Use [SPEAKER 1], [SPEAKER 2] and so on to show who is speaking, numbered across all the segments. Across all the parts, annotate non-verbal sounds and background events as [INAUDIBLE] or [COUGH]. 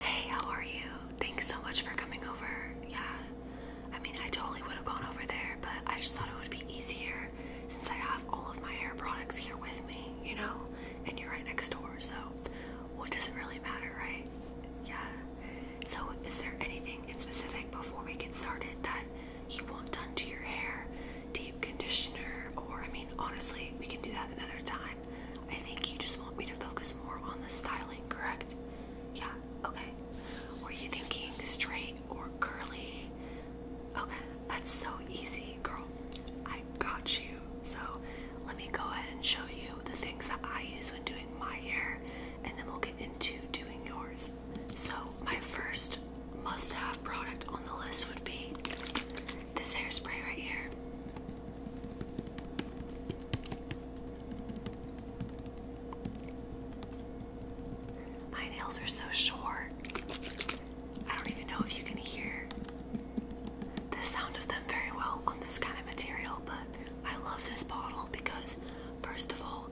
[SPEAKER 1] Hey, how are you? Thanks so much for coming over. Yeah, I mean, I totally would have gone over there, but I just thought it would be easier since I have all of my hair products here with me, you know? And you're right next door, so what doesn't really matter, right? Yeah. So, is there anything in specific before we get started that you want done to your hair? Deep conditioner, or I mean, honestly, we can do that another time. I think you just want me to focus more on the styling, correct? Yeah, okay. Were you thinking straight or curly? Okay, that's so easy, girl. I got you. So let me go ahead and show you the things that I use when doing my hair, and then we'll get into doing yours. So, my first must have product on the list would be this hairspray right here. My nails are so short. I don't even know if you can hear the sound of them very well on this kind of material, but I love this bottle because, first of all,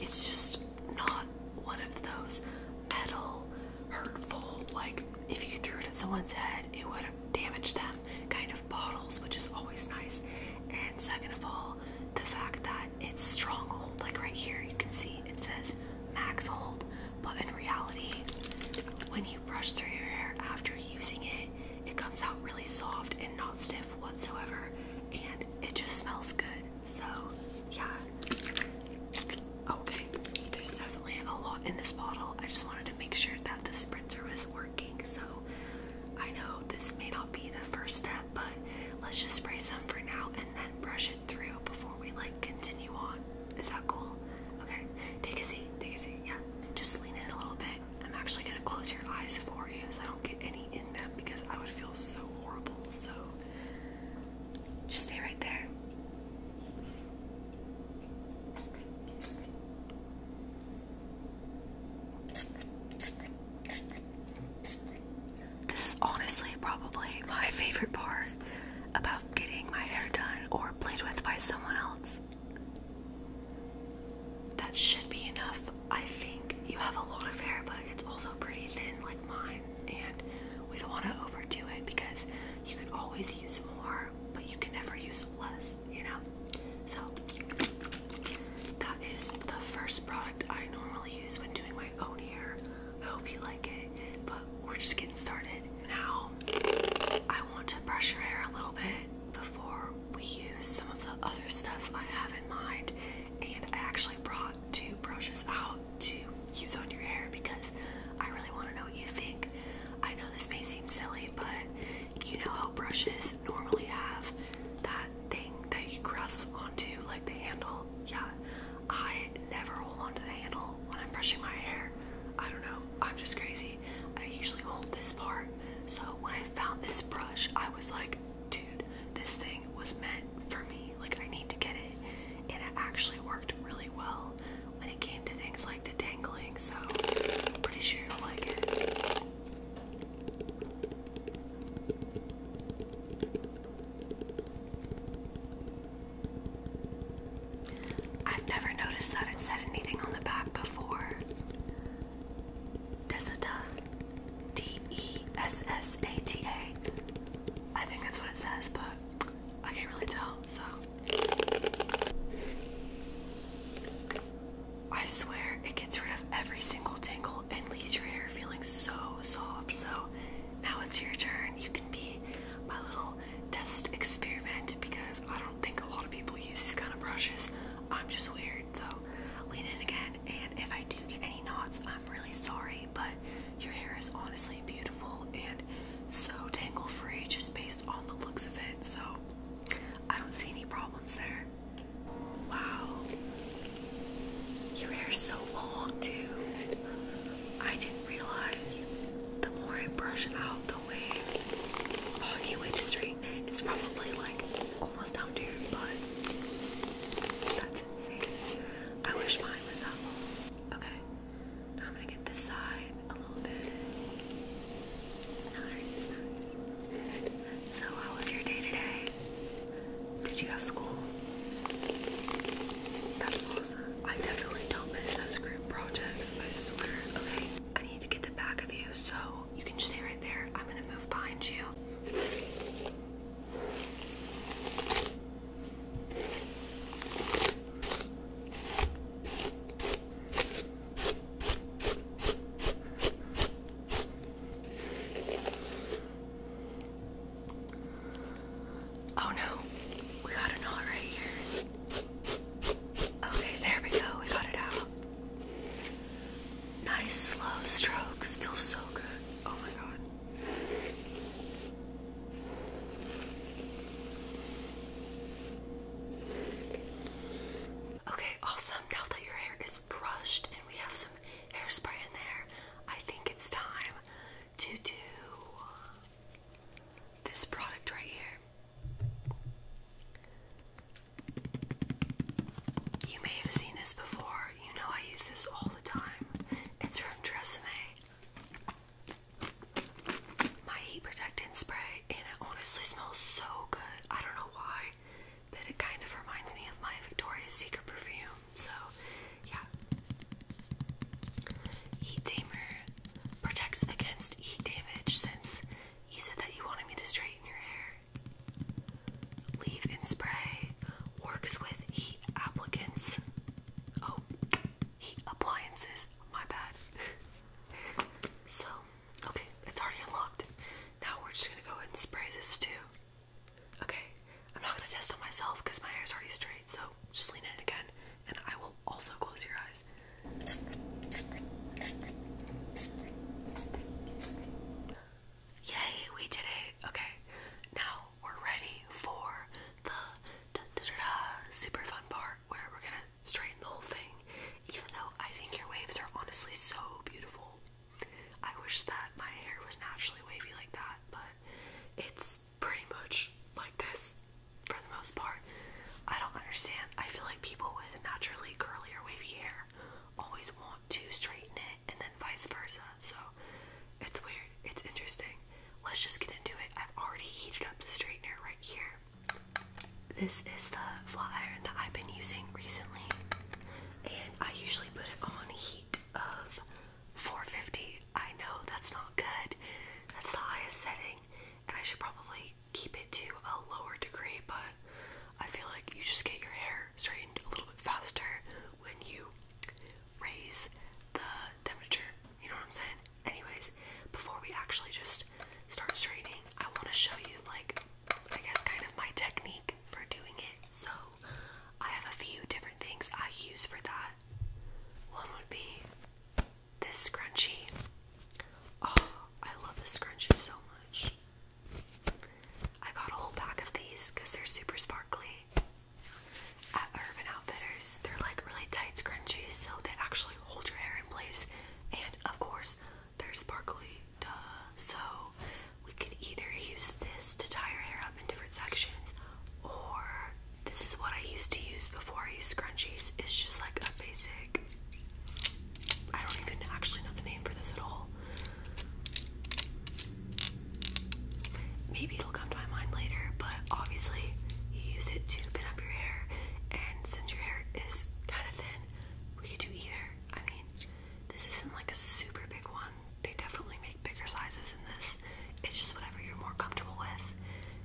[SPEAKER 1] it's just not one of those metal, hurtful, like if you threw it at someone's head, it would damage them kind of bottles, which is always nice. And second of all, the fact that it's stronghold, like right here, you can see it says max hold, but in reality, when you brush through your hair after using it, it comes out really soft and not stiff whatsoever, and it just smells good. So, yeah. Okay, there's definitely a lot in this bottle. I just wanted to make sure that the spritzer was working. So I know this may not be the first step, but let's just spray some for now and then brush it through before we like continue on. Is that cool? Okay, take a seat, take a seat, yeah. Just lean in a little bit. I'm actually gonna close your eyes for you so I don't get any in them because I would feel so horrible. So just stay right there. This is honestly probably my favorite part about getting my hair done or played with by someone else. That should be enough. I think you have a lot of hair, but it's also pretty thin, like mine, and we don't want to overdo it because you can always use more, but you can never use less you know? So, that is the first product I normally use when doing my own hair. I hope you like it, but we're just getting started. Now, I want to brush your hair a little bit before we use some of the other stuff I have in mind. And I actually brought two brushes out to use on your hair because I really want to know what you think. I know this may seem silly, but you know how brushes normally have that thing that you grasp onto, like the handle? Yeah, I never hold onto the handle when I'm brushing my hair. I don't know, I'm just crazy. I usually hold this part. So when I found this brush, I was like, dude, this thing was meant for me. Like, I need to get it. And it actually worked really well when it came to things like does like the tangling, so I'm pretty sure you'll like it. I've never noticed that it said anything on the back before. Desata. D E S S A T A. I think that's what it says, but I can't really tell, so. I swear it gets rid of every single tangle and leaves your hair feeling so soft. So now it's your turn. You can be my little test experiment because I don't think a lot of people use these kind of brushes. I'm just weird. So lean in again. And if I do get any knots, I'm really sorry. But your hair is honestly beautiful and so tangle free just based on the looks of it. So I don't see any problems there. Wow. Your hair's so long, too. I didn't realize the more I brush out the waves, oh, I can to straighten It's probably like almost down to your butt. That's insane. I wish mine was that long. Okay, now I'm gonna get this side. So, how was your day today? Did you have school? I definitely don't miss those group projects, I swear. Okay, I need to get the back of you so you can stay right there. I'm gonna move behind you. Oh no, we got a knot right here. Okay, there we go, we got it out. Nice slow strokes, feels so good. Oh my god. Okay, awesome. Now that your hair is brushed and we have some hairspray in there, I think it's time to do this product right here. You may have seen this before. You know I use this all the time. It's from Tresemme my heat protectant spray, and it honestly smells so good. I don't know why, but it kind of reminds me of my Victoria's Secret perfume. So, yeah. Heat Tamer protects against heat damage since you said that you wanted me to straighten your hair. Leave in spray works with heat applicants. Oh, heat appliances. My bad. [LAUGHS] so Okay, it's already unlocked. Now we're just gonna go ahead and spray this too. Okay, I'm not gonna test on myself because my hair is already straight, so just lean in again, and I will also close your eyes. Yay, we did it. Okay, now we're ready for the da -da super fun part where we're gonna straighten the whole thing. Even though I think your waves are honestly so beautiful. I wish that my hair was naturally wavy like that, but it's pretty much like this for the most part. I don't understand. I feel like people with naturally curly or wavy hair always want to straighten it and then vice versa. So it's weird. It's interesting. Let's just get into it. I've already heated up the straightener right here. This is the flat iron that I've been using recently, and I usually put it on heat of 450. I know that's not good, that's the highest setting, and I should probably keep it to a lower degree, but I feel like you just get your hair straightened a little bit faster when you raise the temperature. You know what I'm saying? Anyways, before we actually just start straightening, I want to show you like I guess, kind of my technique for doing it. So, I have a few different things I use for that. One would be this scrunchie. Oh, I love this scrunchie so much. I got a whole pack of these because they're super sparkly at Urban Outfitters. They're like really tight scrunchies so they actually hold your hair in place. And of course, they're sparkly, duh. So we could either use this to tie your hair up in different sections, or this is what I used to use before I used scrunchies. It's just like a basic. I don't even actually know the name for this at all. Maybe it'll come to my mind later, but obviously you use it to pin up your hair, and since your hair is kind of thin, we could do either. I mean, this isn't like a super big one. They definitely make bigger sizes than this. It's just whatever you're more comfortable with.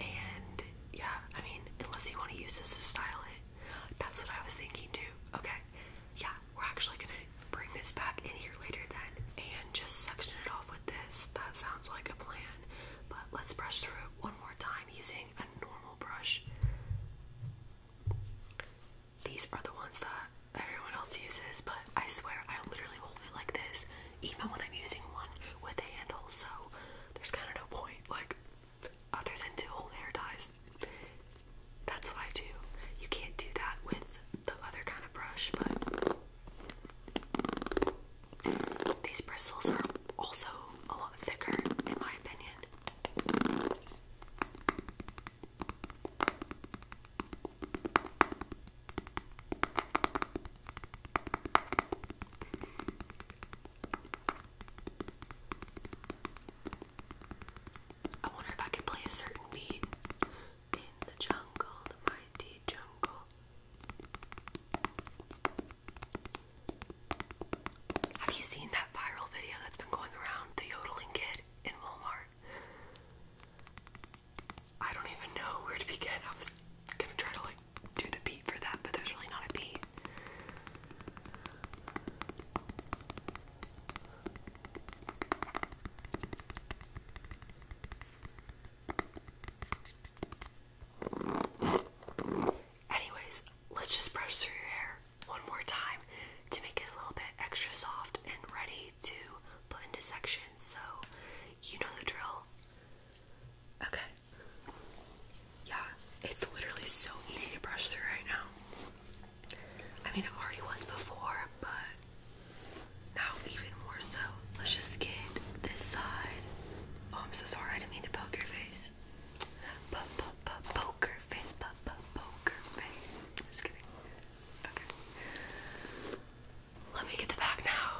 [SPEAKER 1] And yeah, I mean, unless you want to use this to style it. That's what I was thinking too. Okay. Yeah, we're actually gonna bring this back in here later then and just section it off with this. That sounds like a plan. But let's brush through it one more time using a normal brush. These are the ones that everyone else uses, but I swear I literally hold it like this, even when I'm using one with a handle, so there's kind of no point, like, other than to hold hair ties. That's what I do. You can't do that with the other kind of brush, but these bristles are also a lot thicker, in my opinion. I wonder if I could play a certain beat in the jungle, mighty jungle. Have you seen that viral video that's been going around? The yodeling kid in Walmart? I don't even know where to begin. I was gonna try to like do the beat for that, but there's really not a beat. Anyways, let's just brush through your hair one more time to make it a little bit extra soft and ready to put into sections. So you know the drill. Okay. Yeah, it's literally so easy to brush through right now. I mean, it already was before, but now even more so. Let's just get this side. Oh, I'm so sorry. I didn't mean to poke your face face. P -p poker face. P -p poker face. Just kidding. Okay. Let me get the back now.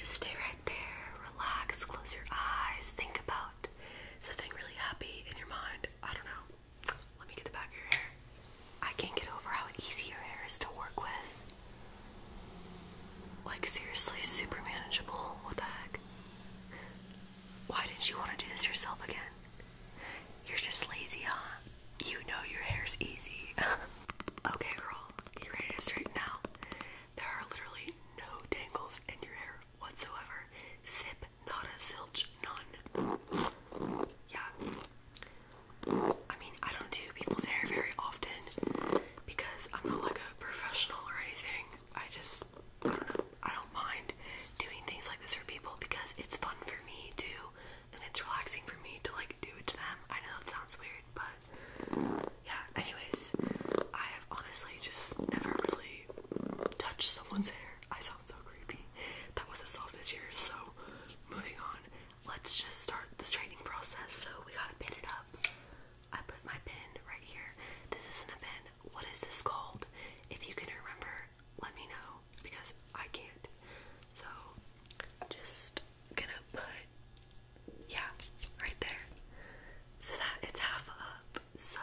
[SPEAKER 1] Just stay right there. Relax. Close your eyes. Think about something really happy in your mind. I don't know. Let me get the back of your hair. I can't get over how easy your hair is to work with. Like seriously, super manageable. What the heck? Why didn't you want to do this yourself again? You're just lazy, huh? You know your hair's easy. [LAUGHS] okay, girl, you ready to straighten out? There are literally no tangles in your hair whatsoever. Zip, not a silch, none. Yeah. I mean, I don't do people's hair very often because I'm not like a professional or anything. I just it's I don't mind doing things like this for people because it's fun for me too, and it's relaxing for me to like do it to them. I know it sounds weird, but yeah. Anyways, I have honestly just never really touched someone's hair. I sound so creepy. That was the softest year. So moving on, let's just start the training process. So we gotta pin it up. I put my pin right here. This isn't a pin what is this called? If you can remember, let me know because I can't. So, just gonna put, yeah, right there. So that it's half up, so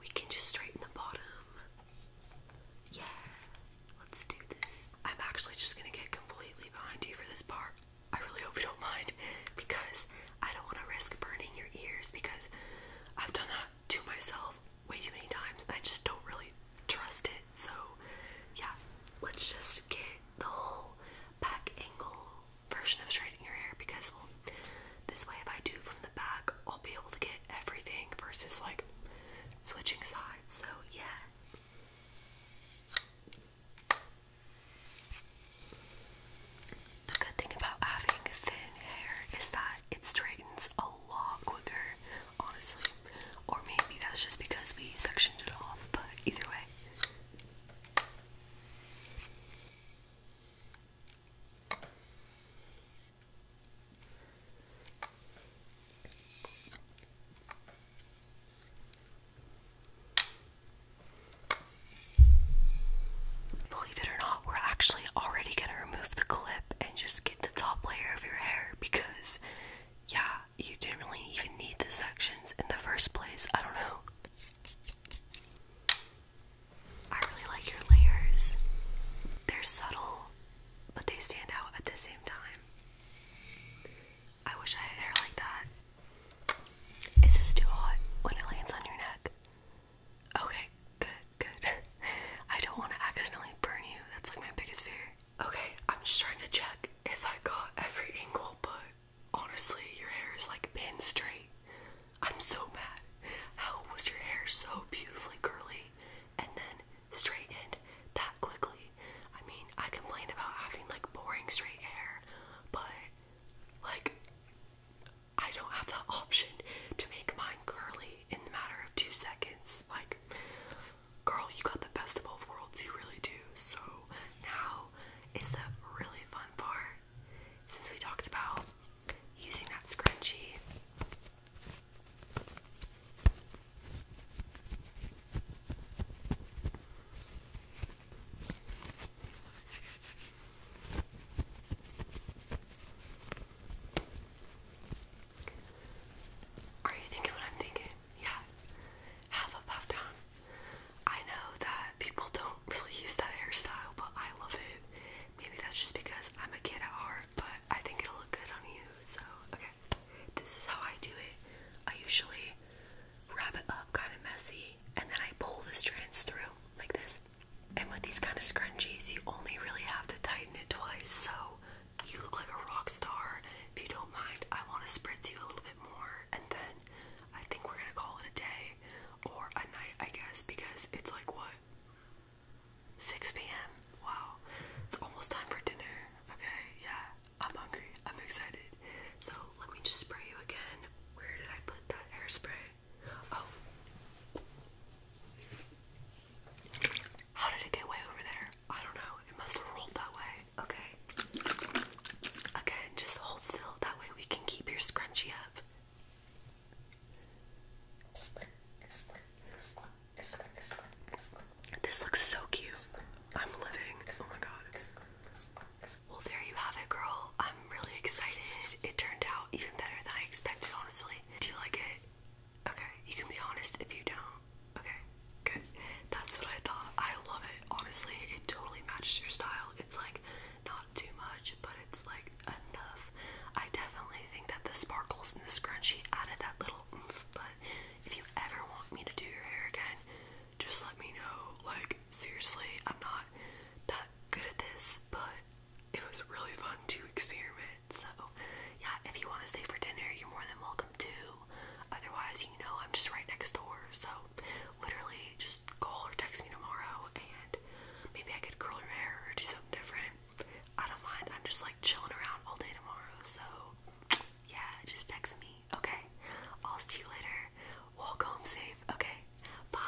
[SPEAKER 1] we can just straighten the bottom. Yeah, let's do this. I'm actually just gonna get completely behind you for this part. I really hope you don't mind [LAUGHS] because I don't want to risk burning your ears because I've done that to myself way too many times, and I just don't really trust it. So, yeah, let's just get the whole back angle version of straightening your hair because, well, this way, if I do from the back, I'll be able to get everything versus like switching sides. So, yeah. The good thing about having thin hair is that it straightens a lot quicker, honestly. Or maybe that's just because we sectioned it off, but either way. Believe it or not, we're actually already gonna remove the clip and just get the top layer of your hair because, yeah, you didn't really even need the sections in the first place. I don't know. I really like your layers, they're subtle, but they stand out at the same time. I wish I had hair like that. Is this too hot when it lands on your neck? Okay, good good. I don't want to accidentally burn you. That's like my biggest fear. Okay, I'm just trying to check if I got every angle, but honestly, your hair is like pin straight. I'm so mad. How was your hair so beautifully curly and then straightened that quickly? I mean, I complain about having like boring straight hair, but like I don't have the option to make mine curly in the matter of two seconds. Like, girl, you got the best of both worlds, you really do. So, now is the really fun part. Since we talked about using that scrunchie. Are you thinking what I'm thinking? Yeah. Have a puff down. I know that people don't [LAUGHS] really use that hairstyle, but I love it. Maybe that's just because I'm a kid at heart, but I think it'll look good on you. So, okay. This is how I do it. I usually wrap it up kind of messy and then I pull the strands through like this. And with these kind of scrunchies, you only really have to tighten it twice. So you look like a rock star. If you don't mind, I want to spritz you a little bit more, and then I think we're gonna call it a day or a night, I guess, because it's like what 6 p.m. Wow, it's almost time for dinner. Okay, yeah, I'm hungry. I'm excited. So let me just spray you again. Where did I put that hairspray? Oh. How did it get way over there? I don't know. It must have rolled that way. Okay. Again, just hold still. That way we can keep your scrunchie up. This looks so cute. I'm living. Oh my god. Well, there you have it, girl. I'm really excited. It turned out even better than I expected, honestly. Do you like it? Okay, you can be honest if you don't. Okay, good. That's what I thought. I love it, honestly. It totally matches your style. It's like not too much, but it's like enough. I definitely think that the sparkles and the scrunchie added that little oomph, but if you ever want me to do your hair again, just let me know. Like, seriously, I'm not that good at this, but it was really fun to experiment. So, yeah, if you want to stay for dinner, you're more than welcome to. Otherwise, you know, I'm just right next door. So, literally, just call or text me tomorrow and maybe I could curl your hair or do something different. I don't mind. I'm just like chilling around all day tomorrow. So, yeah, just text me. Okay. I'll see you later. Walk home safe. Okay. Bye.